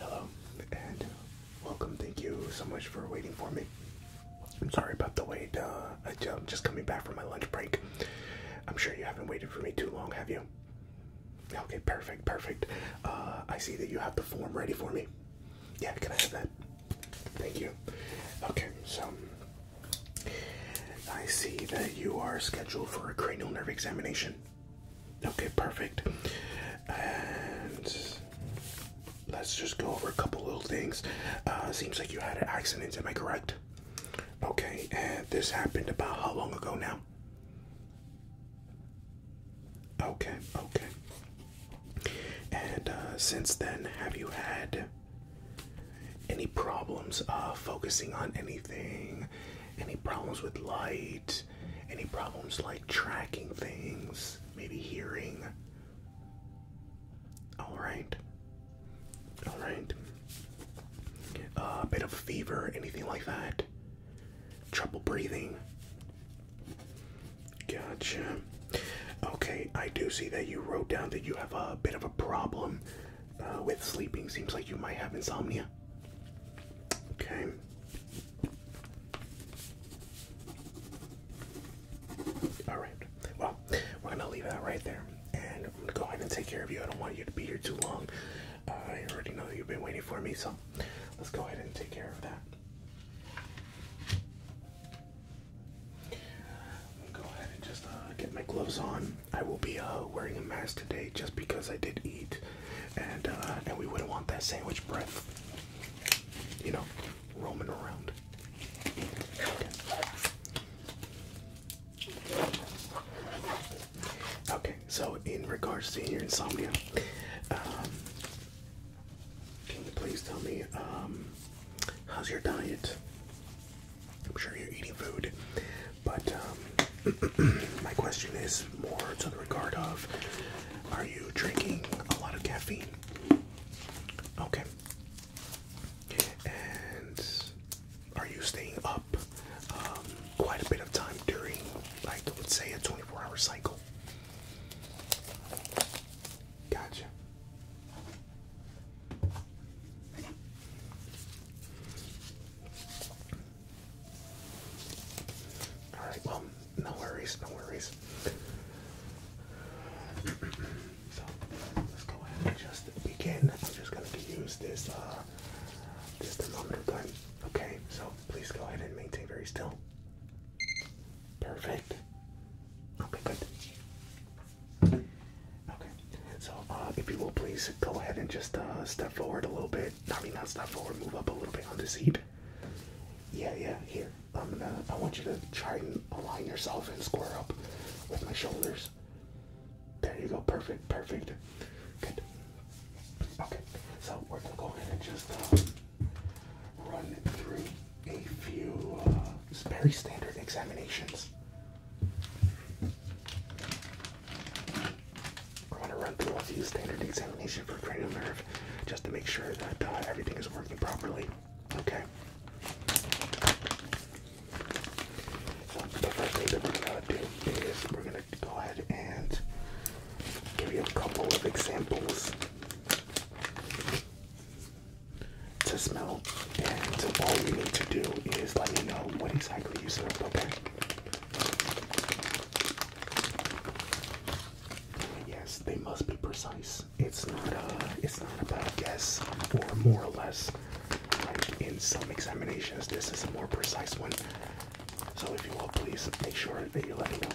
Hello and welcome. Thank you so much for waiting for me. I'm sorry about the wait. Uh, I'm just coming back from my lunch break. I'm sure you haven't waited for me too long, have you? Okay, perfect, perfect. Uh, I see that you have the form ready for me. Yeah, can I have that? Thank you. Okay, so I see that you are scheduled for a cranial nerve examination. Okay, perfect. And let's just go over a couple little things. Uh, seems like you had an accident, am I correct? Okay, and this happened about how long ago now? Okay, okay. And uh, since then, have you had any problems uh, focusing on anything? Any problems with light? Any problems like tracking things, maybe hearing. All right. All right. A uh, bit of fever, anything like that. Trouble breathing. Gotcha. Okay, I do see that you wrote down that you have a bit of a problem uh, with sleeping. Seems like you might have insomnia. Okay. All right. Well, we're gonna leave that right there, and I'm gonna go ahead and take care of you. I don't want you to be here too long. I uh, already know you've been waiting for me, so let's go ahead and take care of that. i go ahead and just uh, get my gloves on. I will be uh, wearing a mask today just because I did eat and uh, and we wouldn't want that sandwich breath, you know, roaming around. Okay, so in regards to your insomnia, um, can you please tell me um, how's your diet? I'm sure you're eating food. But um, my question is more to the regard of Are you drinking a lot of caffeine? Okay. And are you staying up um, quite a bit of time during, like, let's say, a 24 hour cycle? Gotcha. All right. Well, no worries. No worries. so let's go ahead and just begin. I'm just gonna use this uh, this thermometer gun. Okay. So please go ahead and maintain very still. Perfect. Okay. Good. Okay. So uh, if you will please go ahead and just uh, step forward a little bit forward. I mean, not stop forward. Move up a little bit on the seat. Yeah, yeah. Here, I'm gonna. I want you to try and align yourself and square up with my shoulders. There you go. Perfect. Perfect. Good. Okay. So we're gonna go ahead and just um, run through a few uh, very standard examinations. We're going to run through a few standard examination for cranial nerve just to make sure that uh, everything is working properly. Okay. the first thing that we're gonna do is we're gonna go ahead and give you a couple of examples to smell, and all you need to do is let me know what exactly you smell. Okay. Yes, they must be precise. It's not a, it's not about guess or more or less. in some examinations, this is a more precise one. So if you will, please make sure that you let me know.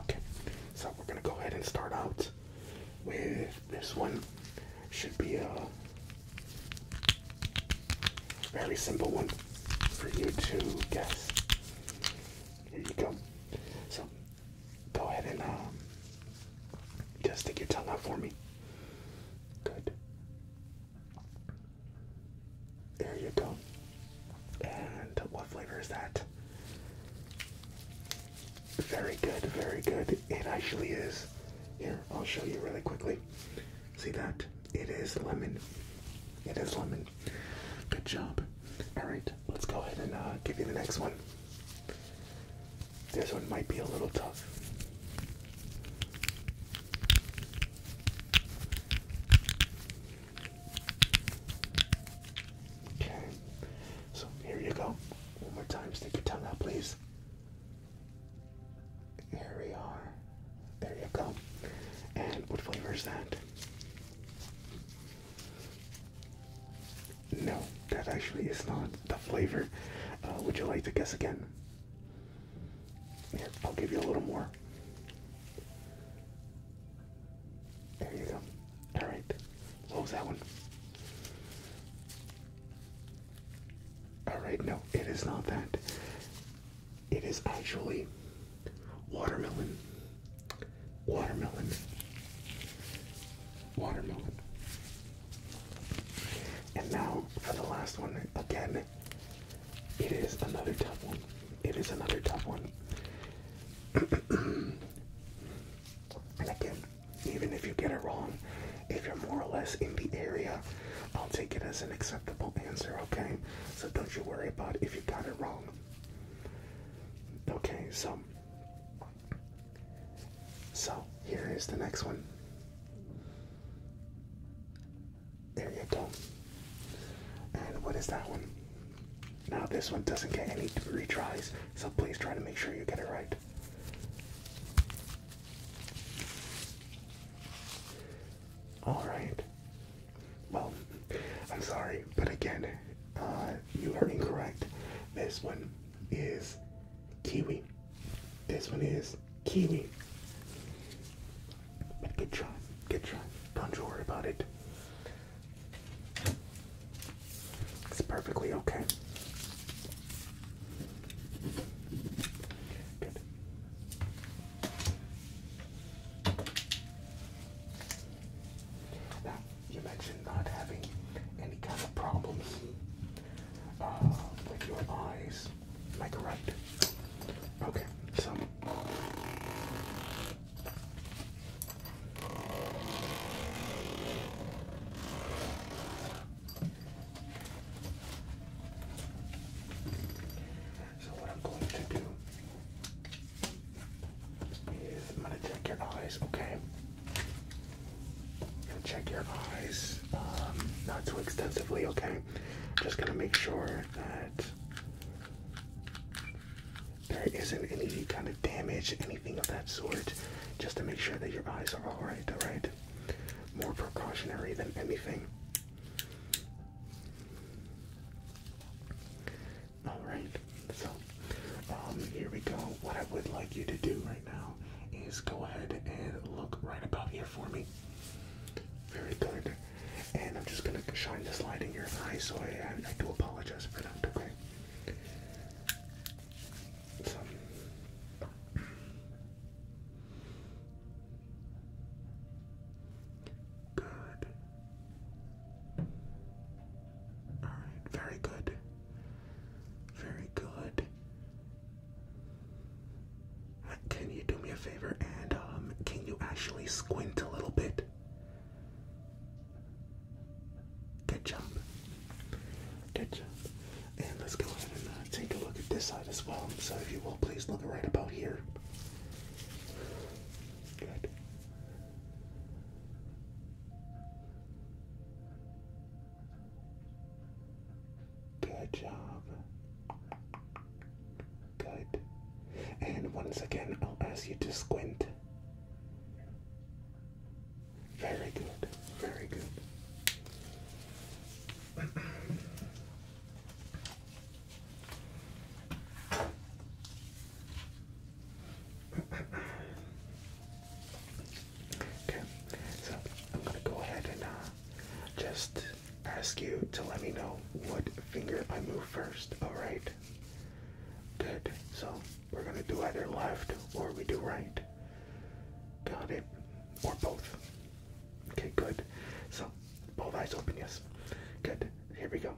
Okay, so we're gonna go ahead and start out with this one should be a very simple one for you to guess. Here you go. So go ahead and um, just stick your tongue out for me. Good. There you go. And what flavor is that? Very good, very good. It actually is. Here, I'll show you really quickly. See that? It is lemon. It is lemon. Good job. Alright, let's go ahead and uh, give you the next one. This one might be a little tough. Okay, so here you go. One more time, stick your tongue out, please. Here we are. There you go. And what flavor is that? No, that actually is not the flavor. Uh, would you like to guess again? Here, I'll give you a little more. There you go. Alright. What was that one? Alright, no, it is not that. It is actually watermelon. Watermelon. Watermelon. And now for the last one. Again, it is another tough one. It is another tough one. and again, even if you get it wrong. If you're more or less in the area, I'll take it as an acceptable answer, okay? So don't you worry about if you got it wrong. Okay, so so here is the next one. There you go. And what is that one? Now this one doesn't get any retries. So please try to make sure you get it right. Alright. Well, I'm sorry, but again, uh, you are incorrect. This one is kiwi. This one is kiwi. But good try, good try. Don't you worry about it. It's perfectly okay. Now, you mentioned not having any kind of problems uh, with your eyes. correct? Okay, so. So what I'm going to do is I'm gonna check your eyes, okay? i check your eyes, um, not too extensively, okay? Just gonna make sure that there isn't any kind of damage, of that sort, just to make sure that your eyes are all right. All right, more precautionary than anything. All right, so um, here we go. What I would like you to do right now is go ahead and look right about here for me. Very good. And I'm just gonna shine this light in your eyes, so I, I do apologize for that. Okay. Good. All right, very good. Very good. Can you do me a favor and um, can you actually squint a little bit? Good job. Good job. And let's go ahead and uh, take a look at this side as well. So if you will, please look right about here. Good. Good job. Good. And once again, I'll ask you to squint. Very good. Very good. okay, so I'm gonna go ahead and uh, just ask you to let me know what finger I move first. All right. Good. So we're gonna do either left or we do right. Got it. Or both. Okay, good. So, both eyes open, yes. Good. Here we go.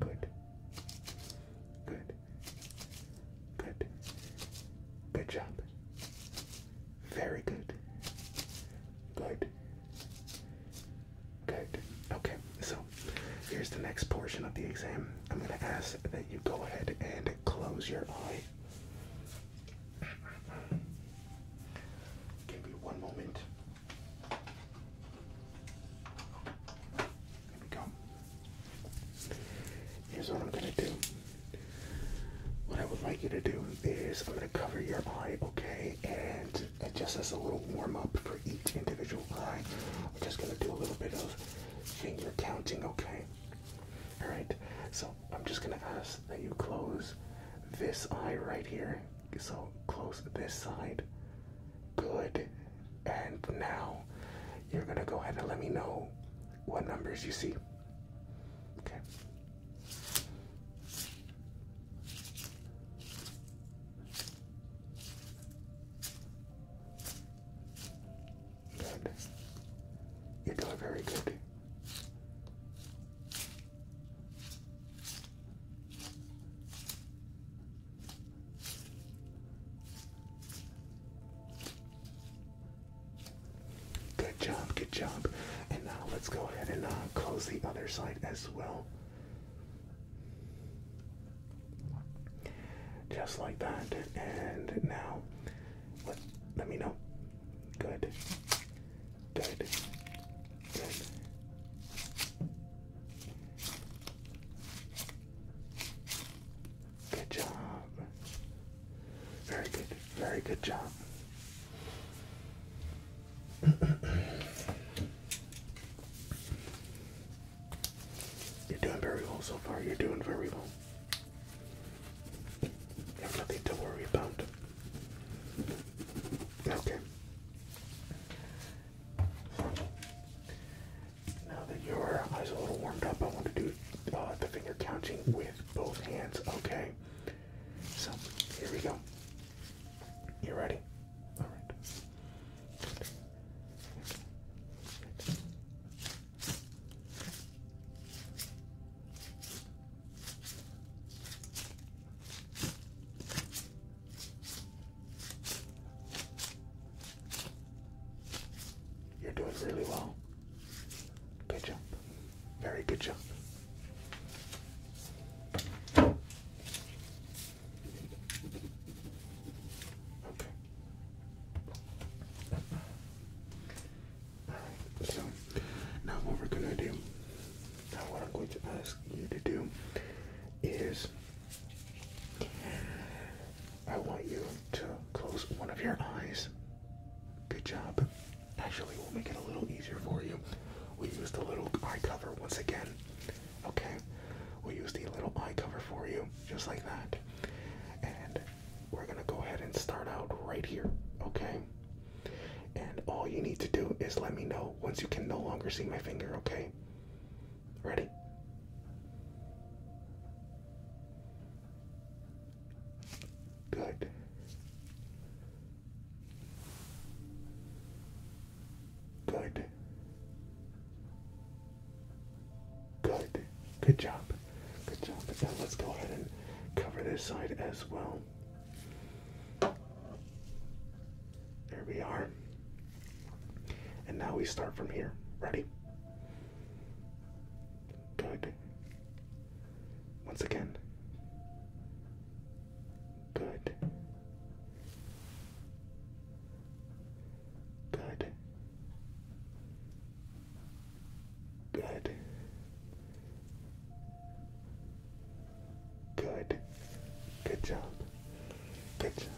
Good. Good. Good. Good job. Very good. Good. Good. Okay, so here's the next portion of the exam. I'm going to ask that you go ahead and close your eye. Give me one moment. There we go. Here's what I'm going to do. What I would like you to do is I'm going to cover your eye, okay? And just as a little warm up for each individual eye, I'm just going to do a little bit of finger counting, okay? All right. So I'm just gonna ask that you close this eye right here. So close this side. Good. And now you're gonna go ahead and let me know what numbers you see. Okay. Good. You're doing very good. Good job, good job. And now let's go ahead and uh, close the other side as well. Just like that. And now, let, me know. Good. Good. Good. Good job. Very good. Very good job. You're doing very well so far. You're doing very well have nothing to worry about. Okay. Now that your eyes are a little warmed up, I want to do uh, the finger counting with both hands, okay? So, here we go. You ready? Alright. You're doing really well. Good job. Very good job. Okay so now what we're gonna do, now what I'm going to ask you to do is I want you to close one of your eyes. Good job. Actually, we'll make it a little easier for you. We'll use the little eye cover once again. Okay? We'll use the little eye cover for you, just like that. And we're gonna go ahead and start out right here, okay? And all you need to do is let me know once you can no longer see my finger, okay? Ready? Good. Good. Good. Good job. Good job. let's go ahead and cover this side as well. There we are. And now we start from here. Ready? Good. Once again. Good. Good. Good. Good. Good job. Good job.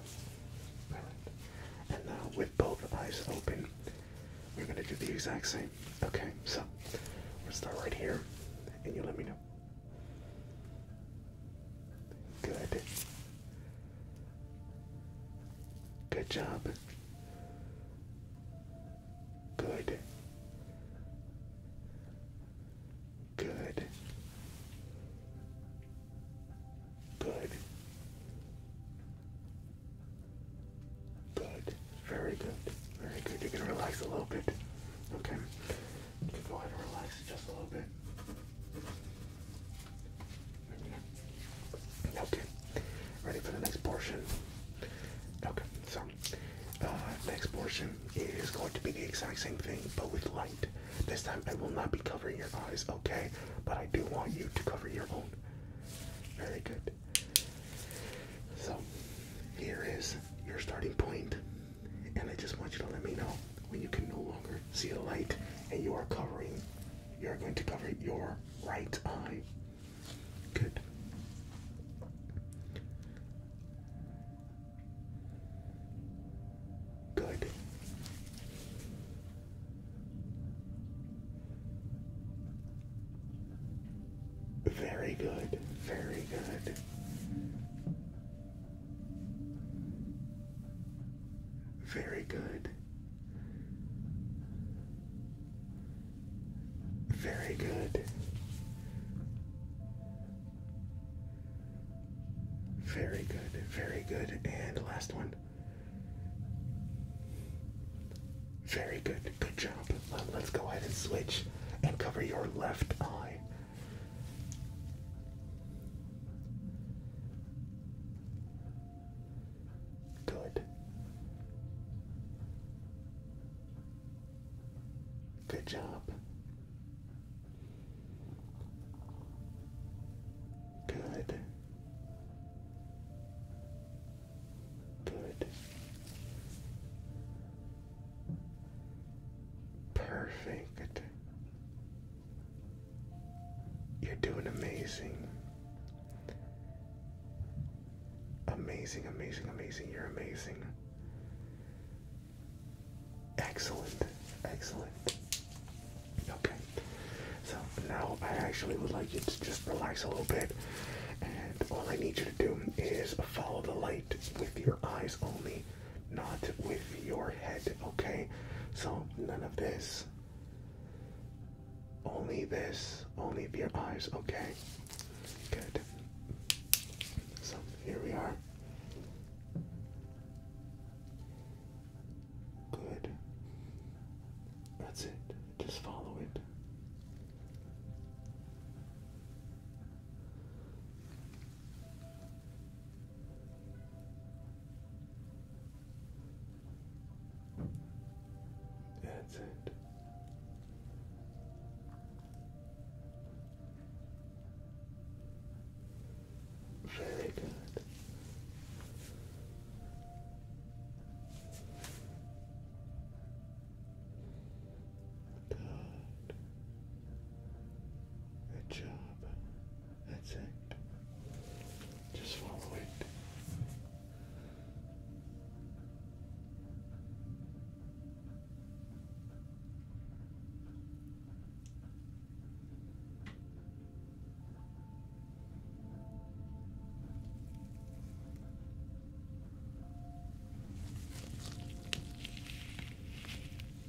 All right. And now, with both eyes open, we're going to do the exact same. Okay, so we'll start right here, and you let me know. Good. Good job. Good. Good. Good. Good. Very good. Very good. You're gonna relax a little bit. Okay. You go ahead and relax just a little bit. Okay, ready for the next portion? Okay, so uh, next portion is going to be the exact same thing but with light. This time I will not be covering your eyes, okay? But I do want you to cover your own. Very good. So here is your starting point, and I just want you to let me know when you can no longer see the light and you are covering. You're going to cover your right eye. Good. Good. Very good. Very good. Very good. Very good. Very good, very good. And last one. Very good, good job. Um, let's go ahead and switch and cover your left eye. Good. Good job. Good. Good. Perfect. You're doing amazing. Amazing, amazing, amazing. You're amazing. Excellent, excellent. Okay, so now I actually would like you to just relax a little bit. And all I need you to do is follow the light with your eyes only, not with your head, okay? So none of this. Only this. Only your eyes. Okay. Good. So here we are. Good. That's it. Just follow it. That's it. Very good. Good. Good job. That's it. Just follow it.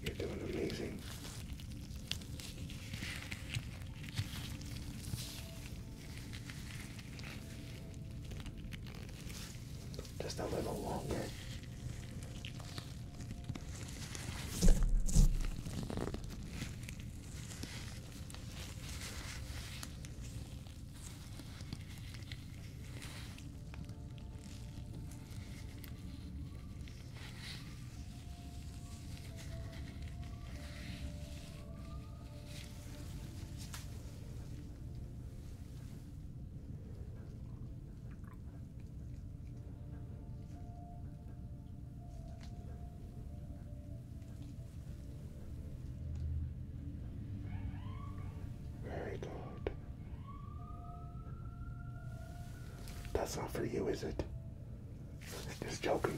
You're doing amazing. Just a little longer. Very good. That's not for you, is it? Just joking.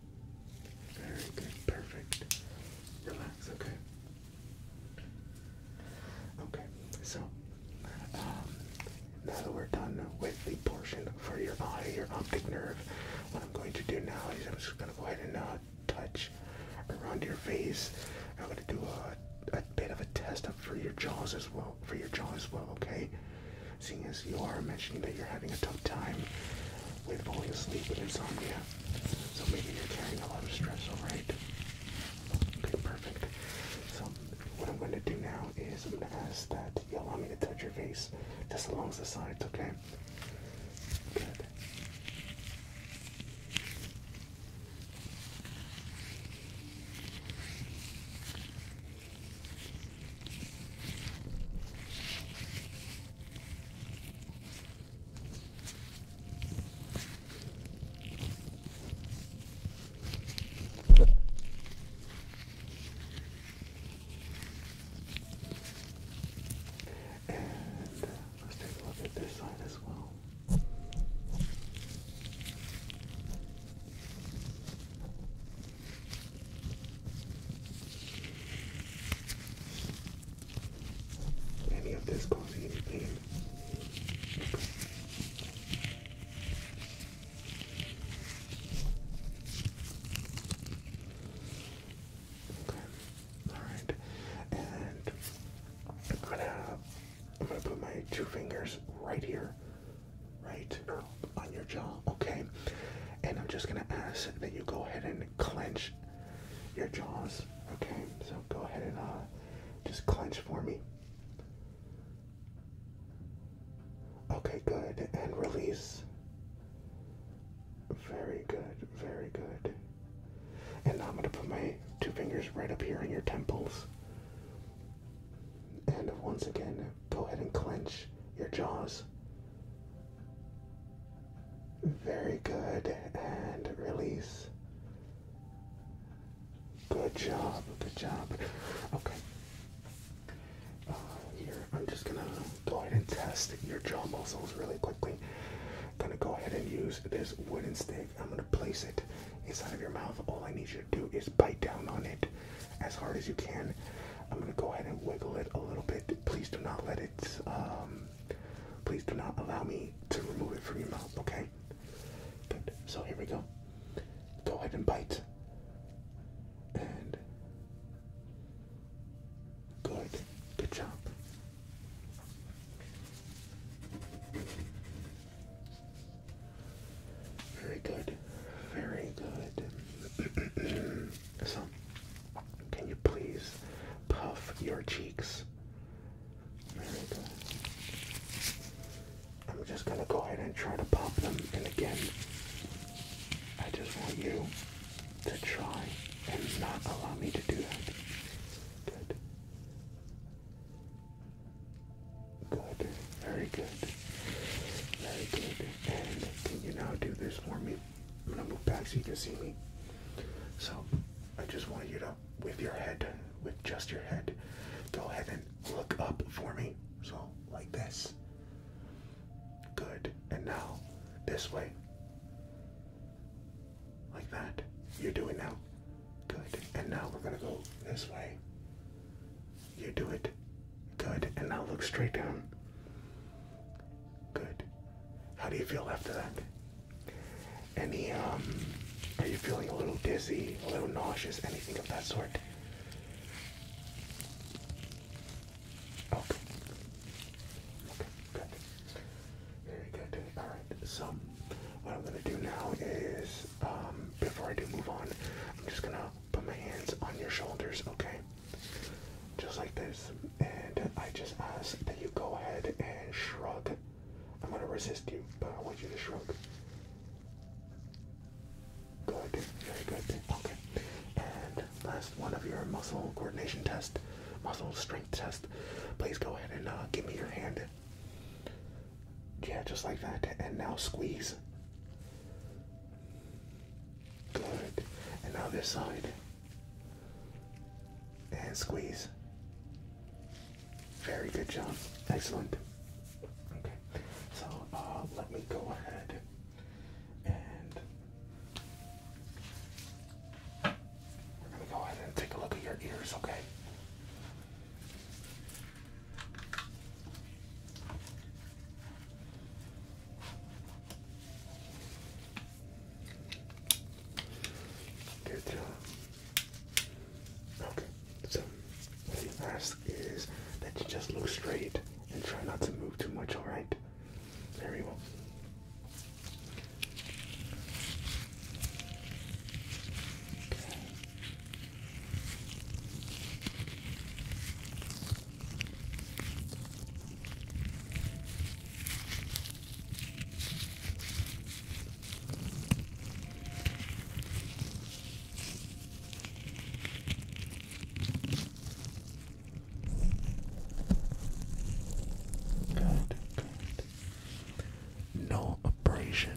Very good, perfect. Relax, okay. Okay, so um, now that we're done with the portion for your eye, your optic nerve, what I'm going to do now is I'm just going to go ahead and uh, touch around your face. I'm going to do a, bit of a test up for your jaws as well, for your jaw as well, okay? Seeing as you are mentioning that you're having a tough time with falling asleep with insomnia, so maybe you're carrying a lot of stress, alright? Okay, perfect. So what I'm going to do now is I'm going to ask that you allow me to touch your face just along the sides, okay? Good. And let's take a look at this side as well any of this cause any pain. Okay. Alright. And I'm gonna I'm gonna put my two fingers right here. Right on your jaw. Okay and I'm just gonna ask that you go ahead and clench your jaws. Okay, so go ahead and uh, just clench for me. Okay, good, and release. Very good, very good. And now I'm gonna put my two fingers right up here on your temples. And once again, go ahead and clench your jaws. Very good. And release. Good job. Good job. Okay. Uh, here, I'm just gonna go ahead and test your jaw muscles really quickly. I'm gonna go ahead and use this wooden stick. I'm gonna place it inside of your mouth. All I need you to do is bite down on it as hard as you can. I'm gonna go ahead and wiggle it a little bit. Please do not let it um, Please do not allow me to remove it from your mouth, okay? Good. So here we go. Go ahead and bite. And good. Good job. Very good. Very good. So, can you please puff your cheeks? There we go. I'm just gonna go ahead and try to pop them, and again, I just want you to try and not allow me to do that. Good. Good. Very good. Very good. And can you now do this for me? I'm gonna move back so you can see me. So I just want you to, with your head, with just your head, go ahead and look up for me. So like this. Good. And now this way. Like that. You're doing now. Good. And now we're gonna go this way. You do it. Good. And now look straight down. Good. How do you feel after that? Any, um, are you feeling a little dizzy, a little nauseous, anything of that sort? Okay. Okay, good. Very good. Alright, so what I'm going to do now is, um, before I do move on, I'm just going to put my hands on your shoulders, okay? just like this. And I just ask that you go ahead and shrug. I'm gonna resist you, but I want you to shrug. Good, very good. Okay. And last one of your muscle coordination test, muscle strength test. Please go ahead and uh, give me your hand. Yeah, just like that. And now squeeze. Good. And now this side. And squeeze. Very good job. Excellent. Okay, so uh, let me go ahead and we're going to go ahead and take a look at your ears, okay? Good job. Okay, so the he is that you just look straight and try not to move too much, alright? Very well. Okay. No abrasions.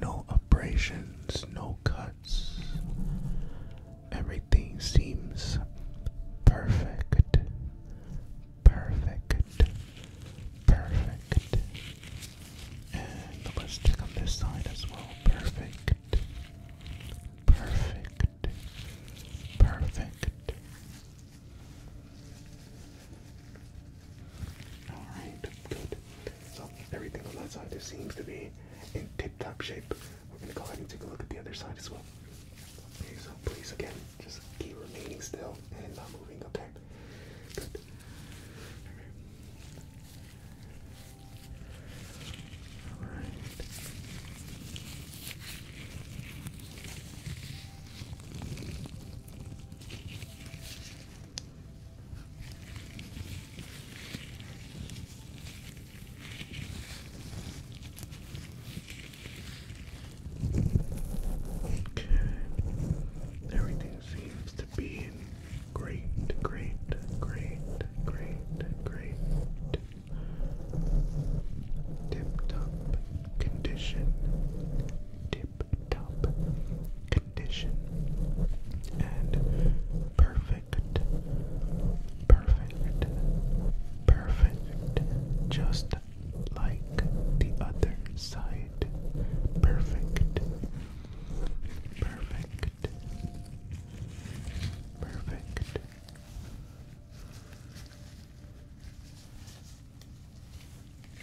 No abrasions, no cuts everything seems perfect, perfect, perfect. And let's check on this side as well. Perfect, perfect, perfect. Alright, good. So everything on that side seems to be in tip top shape. We're going to go ahead and take a look at the other side as well so please again, just keep remaining still and not moving, okay? Good. Okay. Okay. Everything seems to be in great, great, great, great, great, tip top condition. Tip top condition and perfect perfect, perfect, just like the other side, perfect, perfect, perfect.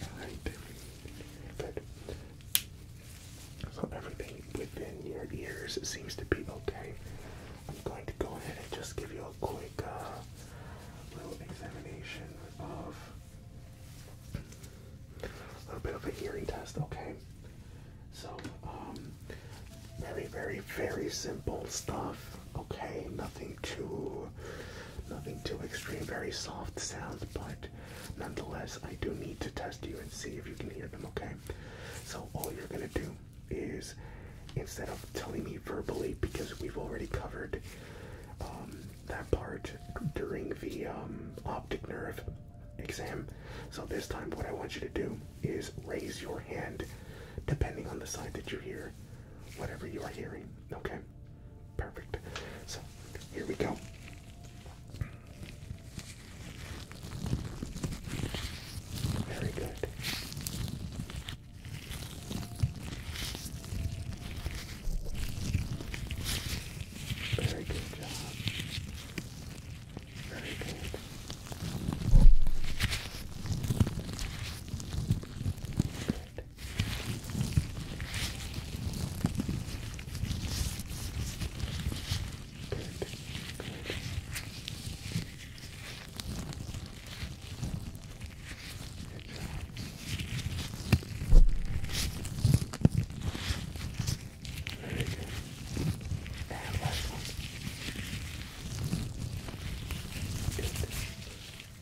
All right, So everything within your ears seems to be okay. I'm going to go ahead and just give you quick uh, little examination of a little bit of a hearing test, okay? So, um, very, very, very simple stuff, okay? Nothing too, nothing too extreme, very soft sounds, but nonetheless, I do need to test you and see if you can hear them, okay? So, all you're gonna do is instead of telling me verbally, because we've already covered um, that part during the um, optic nerve exam. So this time, what I want you to do is raise your hand depending on the side that you hear, whatever you are hearing. Okay? Perfect. So here we go. Very good. Very good job. Very good. Good. Good. Good.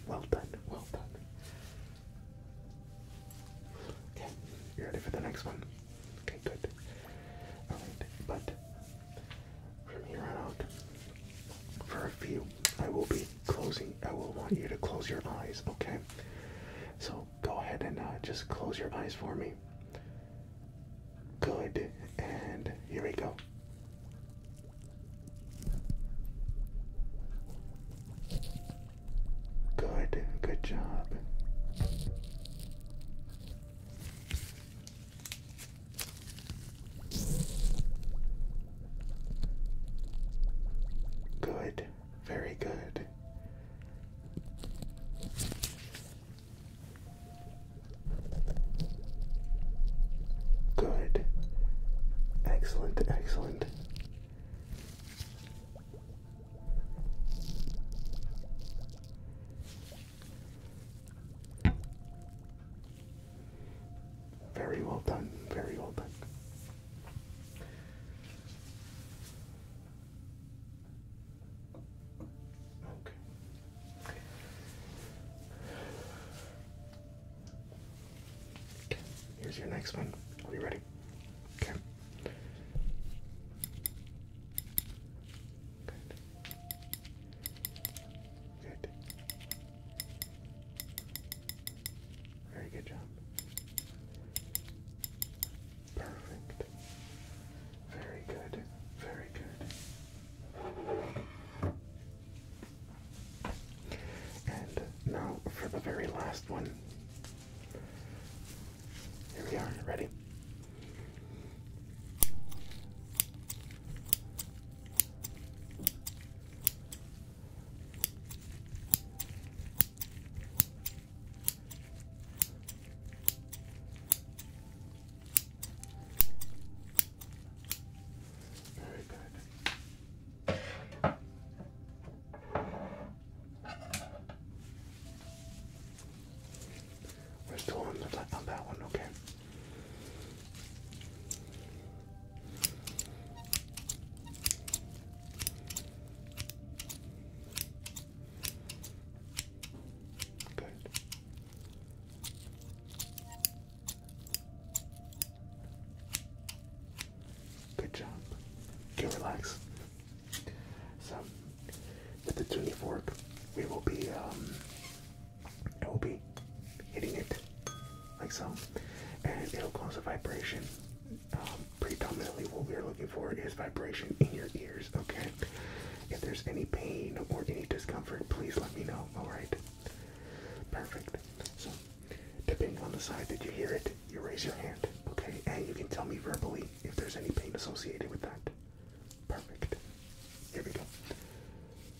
Well done, well done. Okay, you ready for the next one? Okay, good. Alright, but for me, on out. For a few, I will be closing. I will want you to close your eyes, okay? So go ahead and uh, just close your eyes for me. Good, and here we go. Good, good job. Good, very good. Good. Excellent, excellent. Very well done, very well done. Okay. okay. Here's your next one. Are you ready? Okay. Good. Very good job. Perfect. Very good. Very good. And now for the very last one. Here we are. Ready? Very good. We're still on, the, on that one, okay? Good. Good job. Okay, relax. So, with the tuning fork, we will be um, it will be hitting it like so, and it'll cause a vibration. Um, predominantly, what we're looking for is vibration in your ears, okay? If there's any pain or any discomfort, please let me know, alright? Perfect. So, depending on the side did you hear it, you raise your hand, okay? And you can tell me verbally if there's any pain associated with that. Perfect. Here we go.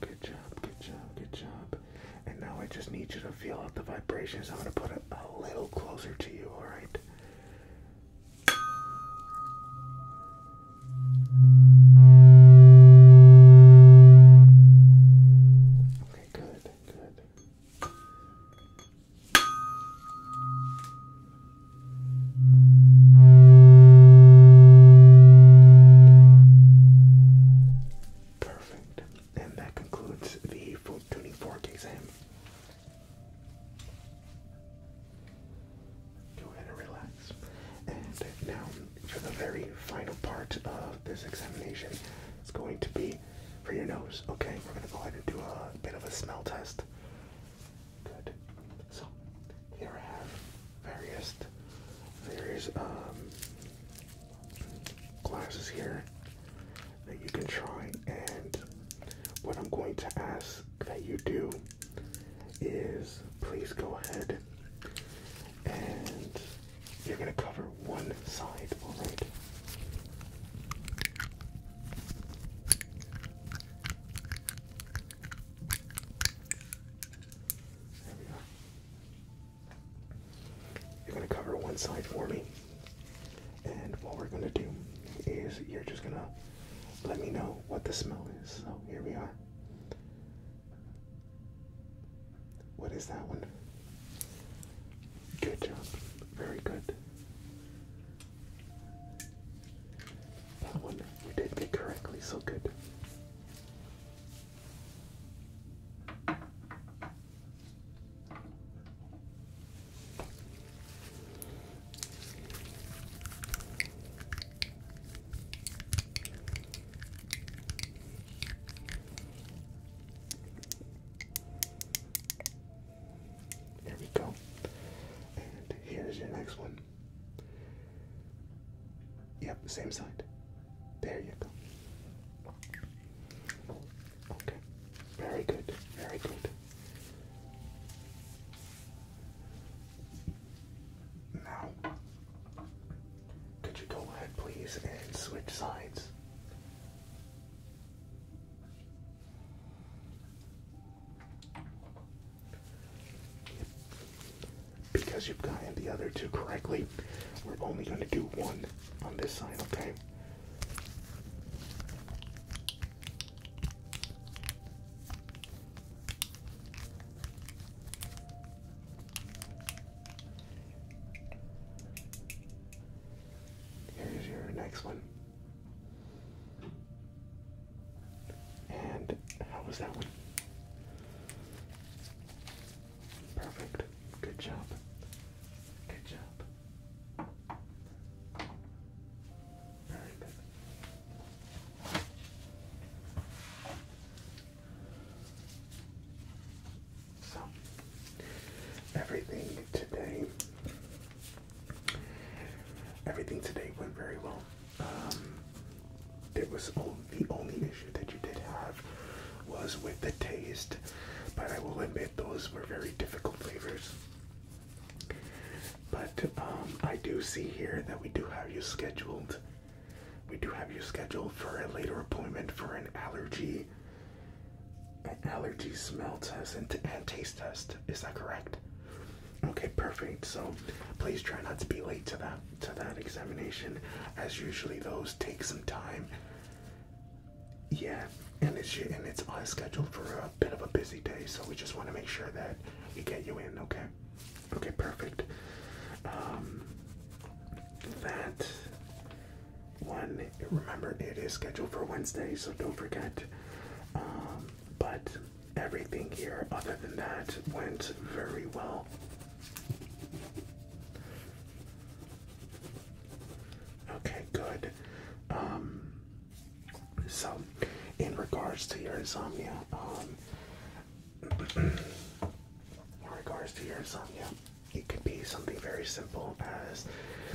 Good job, good job, good job. And now I just need you to feel out the vibrations. I'm going to put it a little closer to you, alright? Okay, good, good. Perfect. And that concludes the full tuning fork exam. Go ahead and relax. And now for the very final part of this examination, it's going to be for your nose. Okay, we're gonna go ahead and do a bit of a smell test. Good. So here I have various various um, glasses here that you can try and what I'm going to ask that you do is please go ahead and you're going to cover one side, all right? There we go. You're going to cover one side for me. And what we're going to do is you're just going to let me know what the smell is. So here we are. What is that one? Good job. Very good. That one you did get correctly, so good. There we go. And here's your next one. Yep, same side. There you go. Okay. Very good. Very good. Now, could you go ahead, please, and switch sides? Because you've gotten the other two correctly, we're only going to do one on this side, okay? Here's your next one. And how was that one? Perfect. Good job. Good job. Very good. So, everything today, everything today went very well. It um, there was the only issue that you did have was with the taste, but I will admit those were very difficult flavors. But um, I do see here that we do have you scheduled. We do have you scheduled for a later appointment for an allergy allergy smell test and, taste test. Is that correct? Okay, perfect. So please try not to be late to that to that examination, as usually those take some time. Yeah, and it's and it's on schedule for a bit of a busy day, so we just want to make sure that we get you in. Okay. Okay, perfect. Um, that one. Remember, it is scheduled for Wednesday, so don't forget. Um, but everything here, other than that, went very well. Okay, good. Um, so, in regards to your insomnia, um, in regards to your insomnia, it could be something very simple as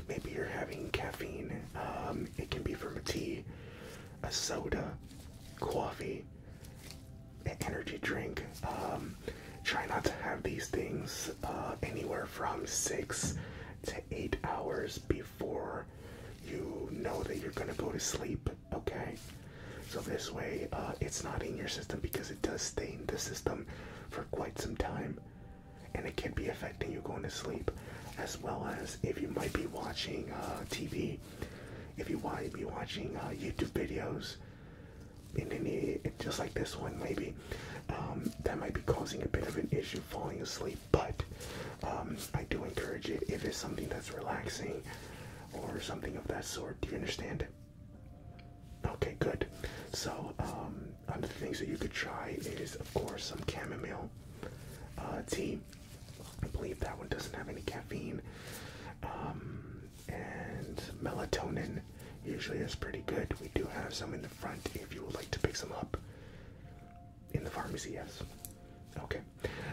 maybe you're having caffeine. Um, it can be from a tea, a soda, coffee, an energy drink. Um, try not to have these things uh, anywhere from six to eight hours before you know that you're going to go to sleep. Okay. So this way, uh, it's not in your system because it does stay in the system for quite some time and it can be affecting you going to sleep as well as if you might be watching uh, TV, if you might be watching uh, YouTube videos, and then just like this one maybe, um, that might be causing a bit of an issue falling asleep. But um, I do encourage it if it's something that's relaxing or something of that sort. Do you understand? Okay, good. So, um, other things that you could try is, of course, some chamomile uh, tea. I believe that one doesn't have any caffeine. Um, and melatonin usually is pretty good. We do have some in the front if you would like to pick some up in the pharmacy, yes. Okay,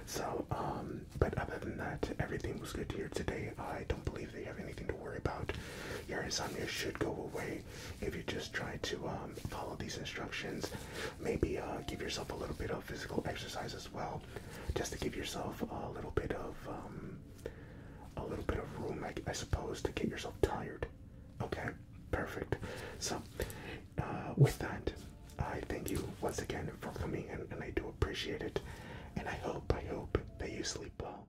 so, um, but other than that, everything was good here today. I don't believe that you have anything to worry about your insomnia should go away if you just try to um, follow these instructions. Maybe uh, give yourself a little bit of physical exercise as well, just to give yourself a little bit of um, a little bit of room, I, suppose, to get yourself tired. Okay, perfect. So, uh, with that, I thank you once again for coming, and I do appreciate it. And I hope, I hope that you sleep well.